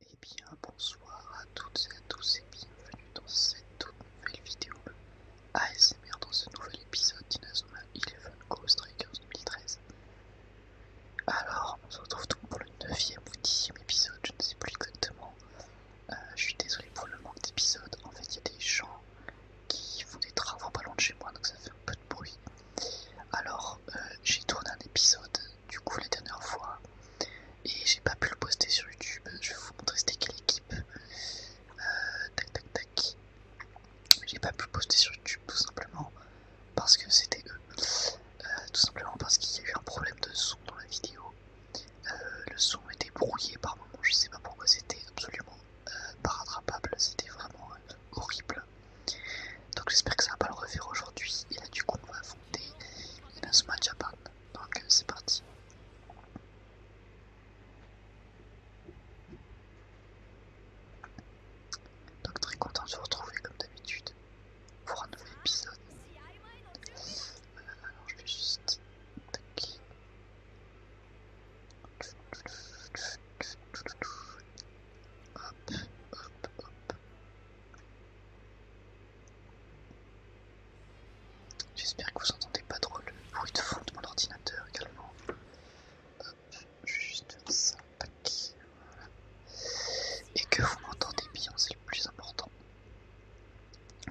Eh bien bonsoir à toutes et à tous et bienvenue dans cette nouvelle vidéo ASMR dans ce nouvel épisode d'Inazuma Eleven Ghost Strikers 2013. Alors on se retrouve donc pour le 9ème ou dixième épisode, je ne sais plus exactement. Euh, je suis désolé pour le manque d'épisodes, en fait il y a des gens qui font des travaux pas loin de chez moi donc ça fait un peu de bruit. Alors euh, j'ai tourné un épisode du coup la dernière fois et j'ai pas pu le poster sur YouTube. Je vais vous montrer c'était quelle équipe. Euh, tac tac tac. J'ai pas pu le poster sur YouTube tout simplement parce que c'était eux. Euh, tout simplement parce qu'il y a eu un problème de son dans la vidéo. Euh, le son était brouillé par moments, je sais pas pourquoi c'était absolument pas rattrapable, c'était vraiment horrible. Donc j'espère que ça va pas le refaire aujourd'hui. Et là du coup on va et le smash Donc euh, c'est parti. Donc très content de vous retrouver comme d'habitude pour un nouvel épisode. Euh, alors je vais juste... Hop, hop, hop. J'espère que vous entendez pas trop le bruit de fond de mon ordinateur également. Hop, je vais juste faire ça, Et que vous m'entendez bien, c'est le plus important.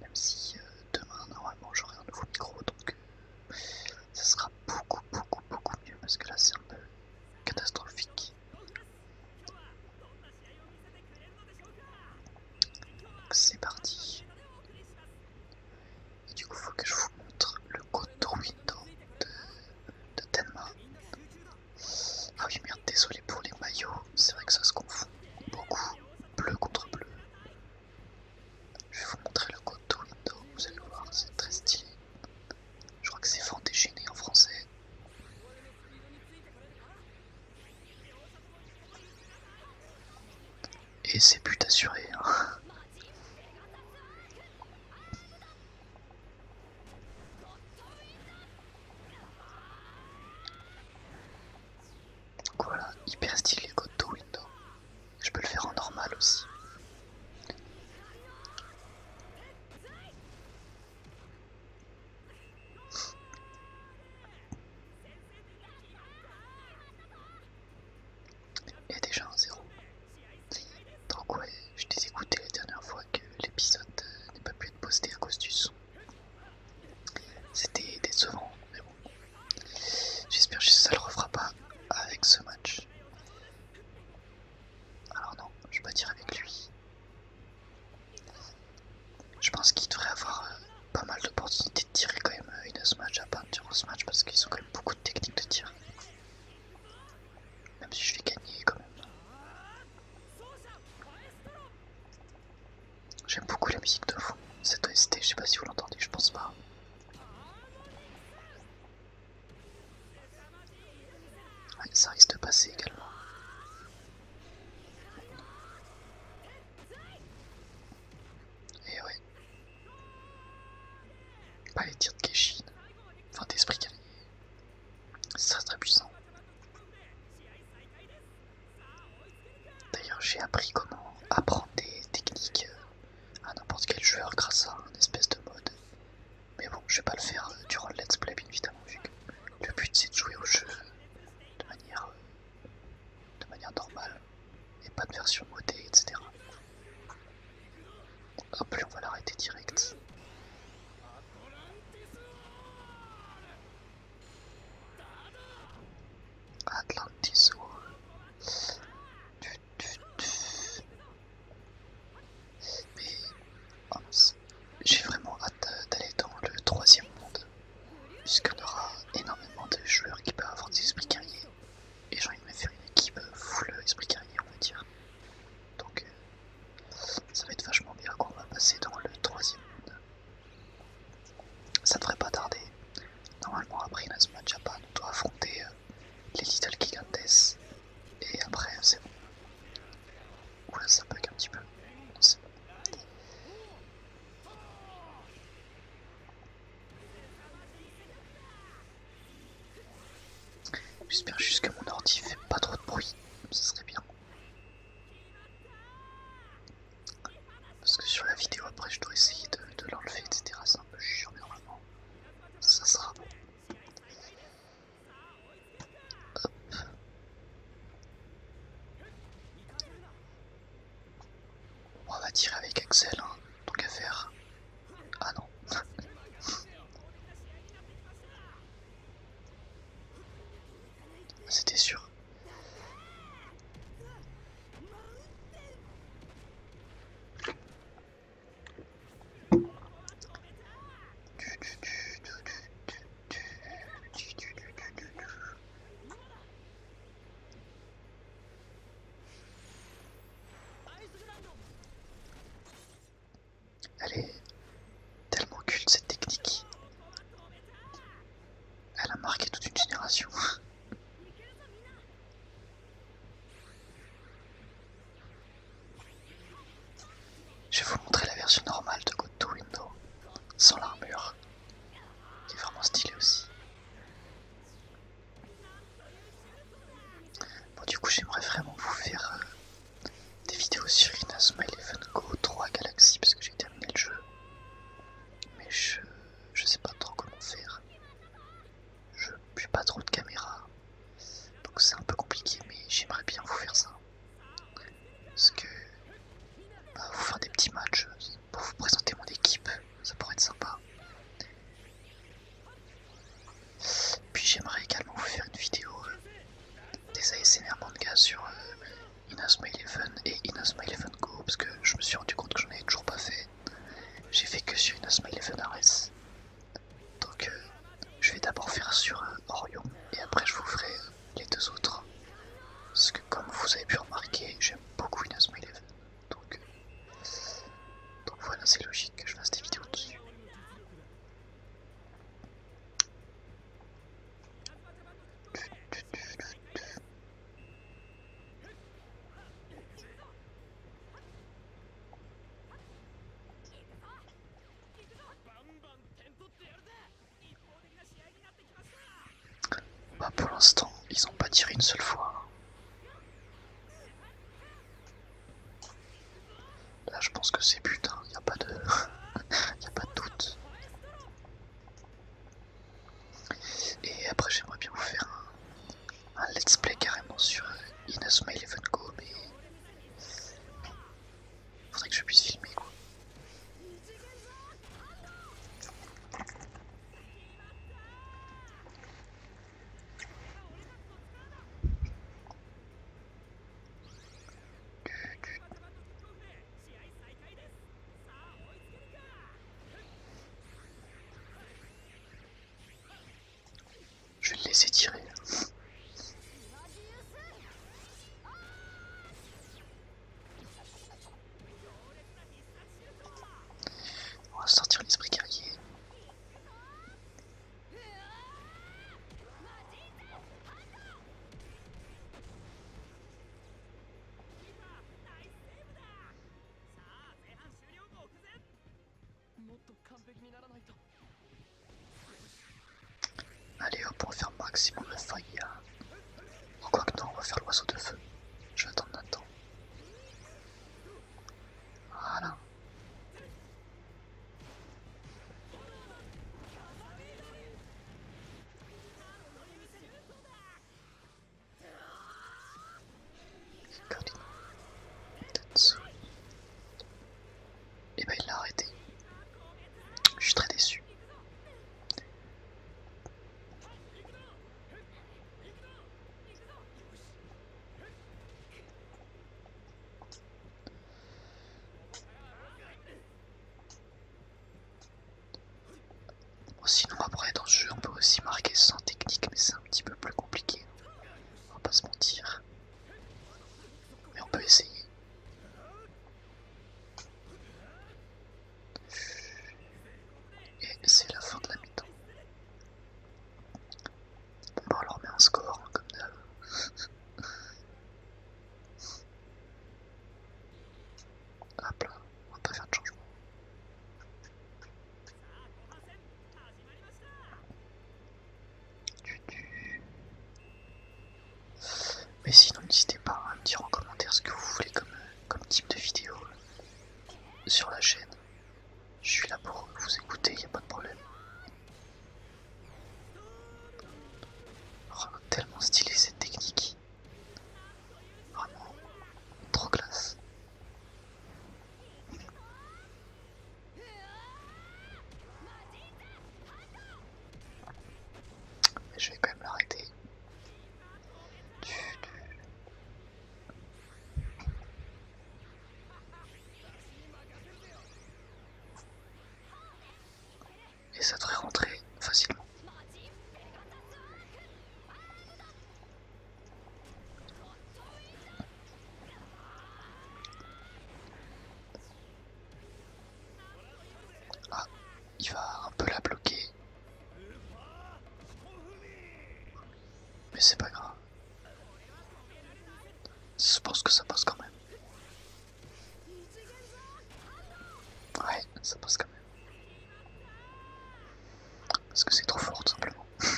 Même si euh, demain, normalement, j'aurai un nouveau micro, donc euh, ça sera beaucoup, beaucoup, beaucoup mieux parce que là, c'est un peu catastrophique. C'est parti. Et du coup, il faut que je vous montre le coto window de, Tenma. Ah oui, merde, désolé pour les maillots, c'est vrai que ça se confond beaucoup, bleu contre bleu. Je vais vous montrer le coto window, vous allez le voir, c'est très stylé. Je crois que c'est Vendégéné en français. Et c'est plus assuré. Voilà, hein. hyper stylé côté window. Je peux le faire en normal aussi a déjà un zéro. Donc ouais, je t'ai écouté la dernière fois que l'épisode n'est pas pu être posté à cause du son. C'était décevant, mais bon. J'espère que ça le refera pas avec ce match. Alors non, je vais pas tirer avec lui. Je pense qu'il devrait avoir euh, pas mal d'opportunités de tirer quand même de euh, ce match, à partir durant ce match parce qu'ils ont quand même beaucoup de techniques de tir. Même si je vais gagner quand même. J'aime beaucoup la musique de vous, cette OST, je sais pas si vous l'entendez, je pense pas. Ça risque de passer également. Et eh ouais. Pas les tirs de Keshin. Enfin d'esprit C'est Ça très puissant. D'ailleurs j'ai appris comment apprendre des techniques euh, à n'importe quel joueur grâce à un espèce de mode mais bon, je vais pas le faire euh, durant le let's play, bien évidemment, vu que le but c'est de jouer au jeu euh, de manière, euh, de manière normale et pas de version modée, etc. Hop, on va l'arrêter direct. Atlantis, oh. Mais j'ai vraiment hâte d'aller dans le troisième monde, puisqu'on aura énormément de joueurs qui peuvent avoir des esprits et j'ai envie de me faire une équipe full esprit on va dire. Donc euh, ça va être vachement bien on va passer dans le troisième monde. Ça devrait pas tarder. Normalement après à Japan on doit affronter euh, les Little Gigantes et après c'est bon. Oula, ça bug un petit peu. J'espère juste que mon ordi fait pas trop de bruit, ça serait bien. Parce que sur la vidéo après je dois essayer de, de l'enlever etc. C'est un peu chiant mais normalement ça sera bon. On va tirer avec Axel, donc hein. à faire. Ah non. C'était sûr. Elle est tellement culte cette technique. Elle a marqué toute une génération. Je vais vous montrer la version normale de Go to Window, sans l'armure, qui est vraiment stylé aussi. Bon du coup j'aimerais vraiment vous faire euh, des vidéos sur Inazuma Eleven Go 3 Galaxy parce que j'ai terminé le jeu. Mais je, je sais pas trop comment faire. Je n'ai pas trop de caméra. Donc c'est un peu compliqué mais j'aimerais bien vous faire ça. Parce que bah, vous faire des petits matchs pour vous présenter mon équipe, ça pourrait être sympa. Puis j'aimerais également vous faire une vidéo euh, des ASMR manga sur euh, Inazuma Eleven et Inazuma Eleven Go parce que je me suis rendu compte que j'en avais toujours pas fait. J'ai fait que sur Inazuma Eleven RS. Donc euh, je vais d'abord faire sur Orion et après je vous ferai les deux autres. Parce que comme vous avez pu remarquer, j'aime beaucoup Windows 11, Donc, donc voilà, c'est logique que je fasse des vidéos dessus. Bah, pour l'instant, ils n'ont pas tiré une seule fois. Là, je pense que c'est but, il hein. n'y a pas de... pas doute. Et après, j'aimerais bien vous faire un, let's play carrément sur Inasuma Eleven Go, mais Faudrait que je puisse filmer quoi. Je vais le laisser tirer. On va sortir l'esprit guerrier. Allez on va faire maximum de failles. Encore hein. quoi que on va faire l'oiseau de feu. Je vais attendre Nathan. Voilà et ben il l'a arrêté. Je suis très déçu. sinon après dans ce jeu on peut aussi marquer sans technique mais c'est un petit peu plus compliqué. On va pas se mentir. Mais on peut essayer. Et c'est la fin de la mi-temps. Bon va leur met un score hein, comme d'hab. Hop là, on va pas faire de changement. Mais sinon n'hésitez pas à me dire en commentaire ce que vous voulez comme, comme type de vidéo sur la chaîne. Je suis là pour vous écouter, il n'y a pas de problème. Oh, tellement stylé cette technique. Vraiment trop classe je vais quand même l'arrêter. Et ça devrait rentrer facilement. Ah, il va un peu la bloquer. Mais c'est pas grave. Je pense que ça passe quand même. Ouais, ça passe quand même. Parce que c'est trop fort tout simplement.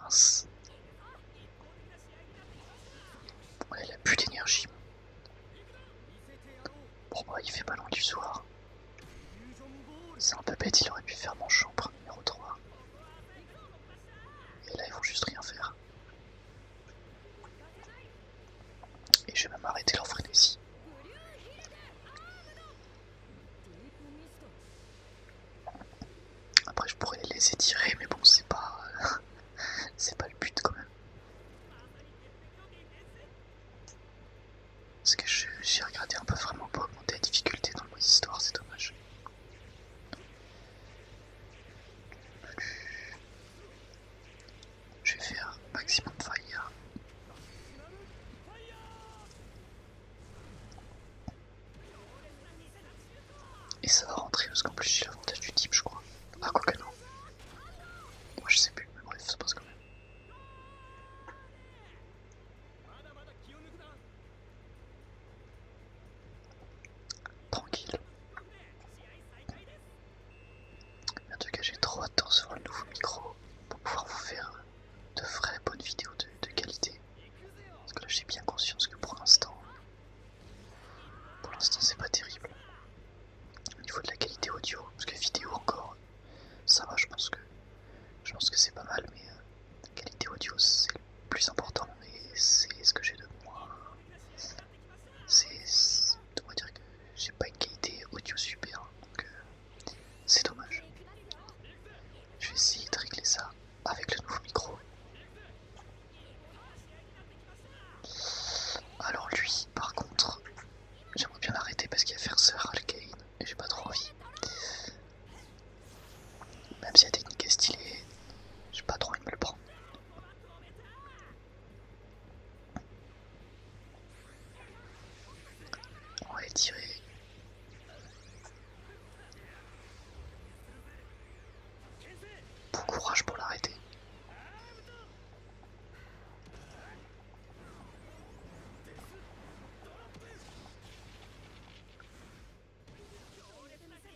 Mince. Bon, il a plus d'énergie. Bon, bah, il fait pas loin du soir. C'est un peu bête, il aurait pu faire mon chambre numéro 3. Et là, ils vont juste rien faire. Et je vais même arrêter leur frénésie. Après je pourrais les étirer mais bon c'est pas c'est pas le but quand même. Parce que j'ai regardé un peu vraiment pour augmenter la difficulté dans le mode histoire, c'est dommage. Je vais faire maximum fire. Et ça va rentrer parce qu'en plus j'ai l'avantage du type je crois. Ah quoi que non. Moi je sais plus, mais bref, ça passe quand même. Tranquille. En tout cas, j'ai trop hâte de le nouveau micro pour pouvoir vous faire de vraies bonnes vidéos de, qualité. Parce que là, j'ai bien conscience que pour l'instant, pour l'instant, c'est pas terrible. Au niveau de la qualité audio, parce que vidéo encore, ça va, je pense que je pense que c'est pas mal, mais la euh, qualité audio, c'est le plus important et c'est ce que j'ai de moi c'est. de va dire que j'ai pas une qualité audio super, donc euh, c'est dommage. Je vais essayer de régler ça avec le nouveau micro. Alors lui, par contre, j'aimerais bien l'arrêter parce qu'il a faire sœur Alkaïn et j'ai pas trop envie. Même si la technique est stylée, j'ai pas trop envie de me le prendre. On va tiré. Bon courage pour l'arrêter.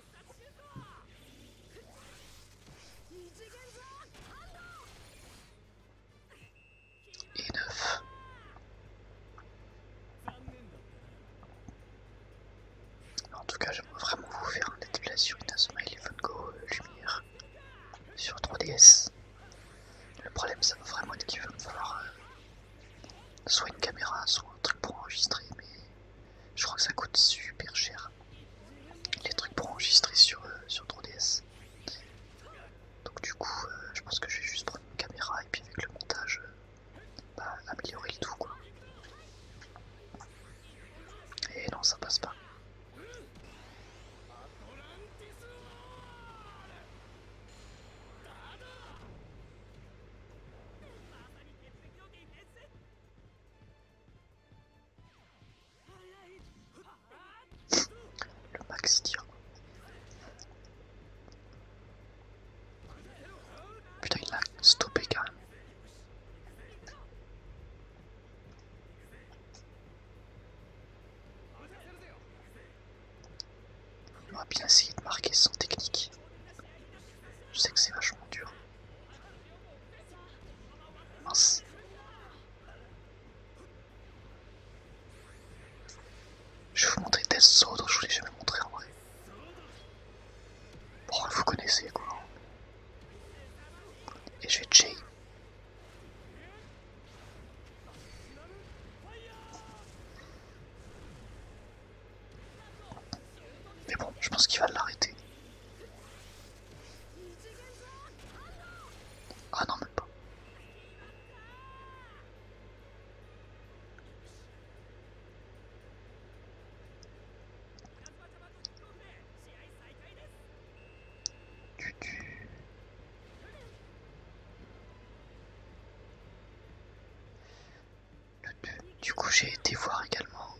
Et 9. En tout cas, j'aimerais vraiment vous faire un déplacement à sur Inazuma Eleven Go euh, Lumière sur 3DS. Le problème, ça va vraiment être qu'il va me falloir euh, soit une caméra, soit un truc pour enregistrer, mais je crois que ça coûte super cher. Les trucs pour enregistrer sur, euh, sur 3DS. Donc du coup, euh, je pense que je vais juste prendre une caméra et puis avec le montage, euh, bah, améliorer le tout quoi. Et non, ça passe pas. Le max tire. Putain, il l'a stoppé quand même. Il doit bien essayé de marquer sans technique. Je sais que c'est vachement dur. Je vais vous montrer Death Sword, je voulais jamais montrer en vrai. vous connaissez quoi. Et je vais Jay. Mais bon, je pense qu'il va l'arrêter. Ah non, même pas. Du coup, j'ai été voir également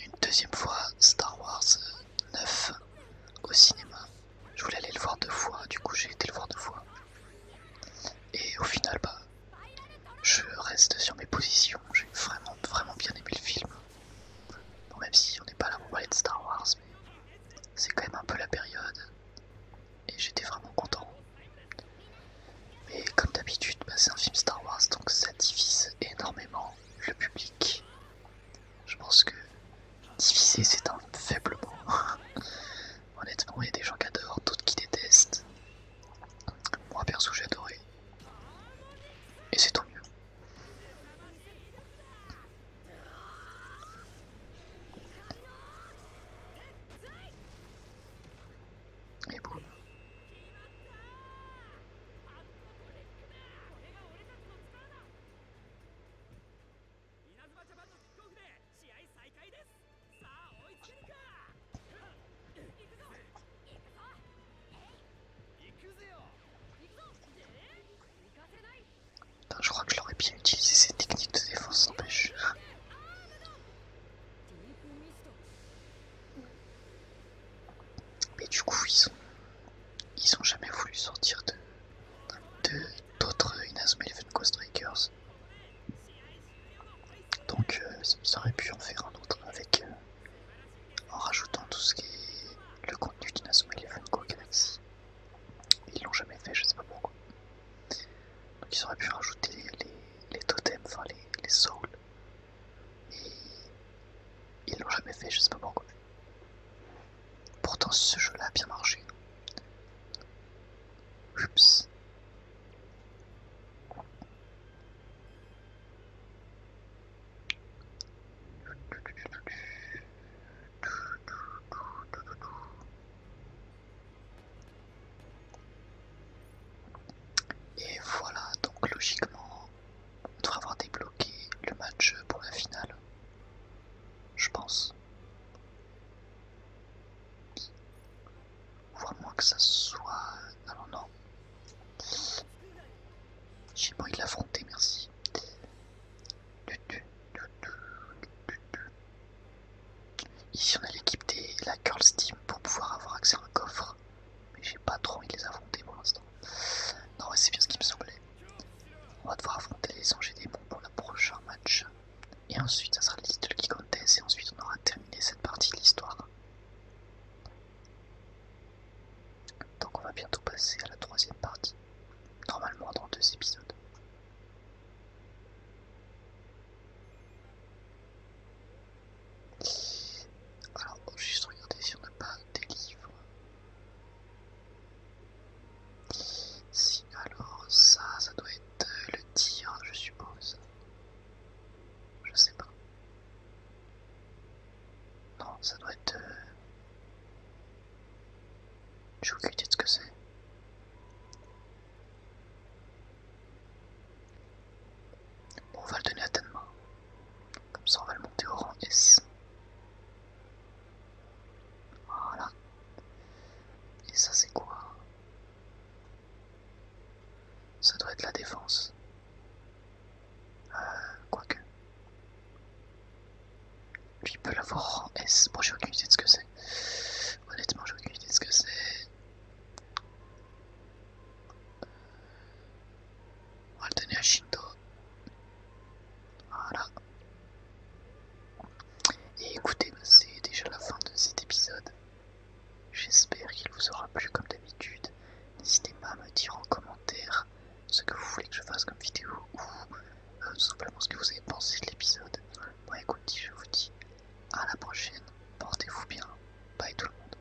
une deuxième fois Star Wars 9 euh, au cinéma. Je voulais aller le voir deux fois, du coup, j'ai été le voir deux fois. Et au final, bah, je reste sur mes positions. J'ai vraiment, vraiment bien aimé le film. même si on n'est pas là pour parler de Star Wars, mais c'est quand même un peu la période. Et j'étais vraiment content. Mais comme d'habitude, bah, c'est un film Star Wars, donc ça divise énormément le public. Je pense que diviser, c'est un faible mot. Honnêtement, il y a des gens qui adorent, d'autres qui détestent. Moi, perso, j'ai adoré. Et c'est tout mieux. Et boum, je crois que j'aurais bien utilisé ces techniques de défense sans pêche. Mais du coup, ils ont, jamais voulu sortir de d'autres Inazuma Eleven Strikers. Donc, ils euh, auraient pu en faire un autre avec euh, en rajoutant tout ce qui est le contenu d'Inazuma Eleven Go Galaxy. Ils l'ont jamais fait, je sais pas pourquoi. Donc, ils auraient pu rajouter les, totems, enfin les souls et Ils l'ont jamais fait je sais pas pourquoi. Pourtant ce jeu-là a bien marché. Et voilà, donc logiquement, on devrait avoir débloqué le match pour la finale. Je pense. Ou moins que ça soit... Ah non, non, J'ai pas envie l'affronter, merci. Ici on a l'équipe de la Curl Team pour pouvoir avoir accès à un coffre mais j'ai pas trop envie de les affronter pour l'instant. Non, c'est bien ce qui me semblait. On va devoir affronter les anges des démons pour le prochain match. Et ensuite, ça sera Little qui conteste, et ensuite on aura terminé cette partie de l'histoire. Donc on va bientôt passer à la troisième partie, normalement dans deux épisodes. Alors, je va juste regarder si on n'a pas des livres. Si, alors ça, ça doit être euh, le tir, je suppose. Je sais pas. Non, ça doit être... Euh, j'ai de ce que c'est. Bon, on va le donner à Tenma. Comme ça, on va le monter au rang S. Voilà. Et ça, c'est quoi Ça doit être la défense. Euh, quoique. Lui, il peut l'avoir rang S. Bon, j'ai aucune idée de ce que c'est. Honnêtement, j'ai aucune idée de ce que c'est. On donner à Et écoutez, bah, c'est déjà la fin de cet épisode. J'espère qu'il vous aura plu comme d'habitude. N'hésitez pas à me dire en commentaire ce que vous voulez que je fasse comme vidéo ou euh, simplement ce que vous avez pensé de l'épisode. Bon écoutez, je vous dis à la prochaine. Portez-vous bien. Bye tout le monde.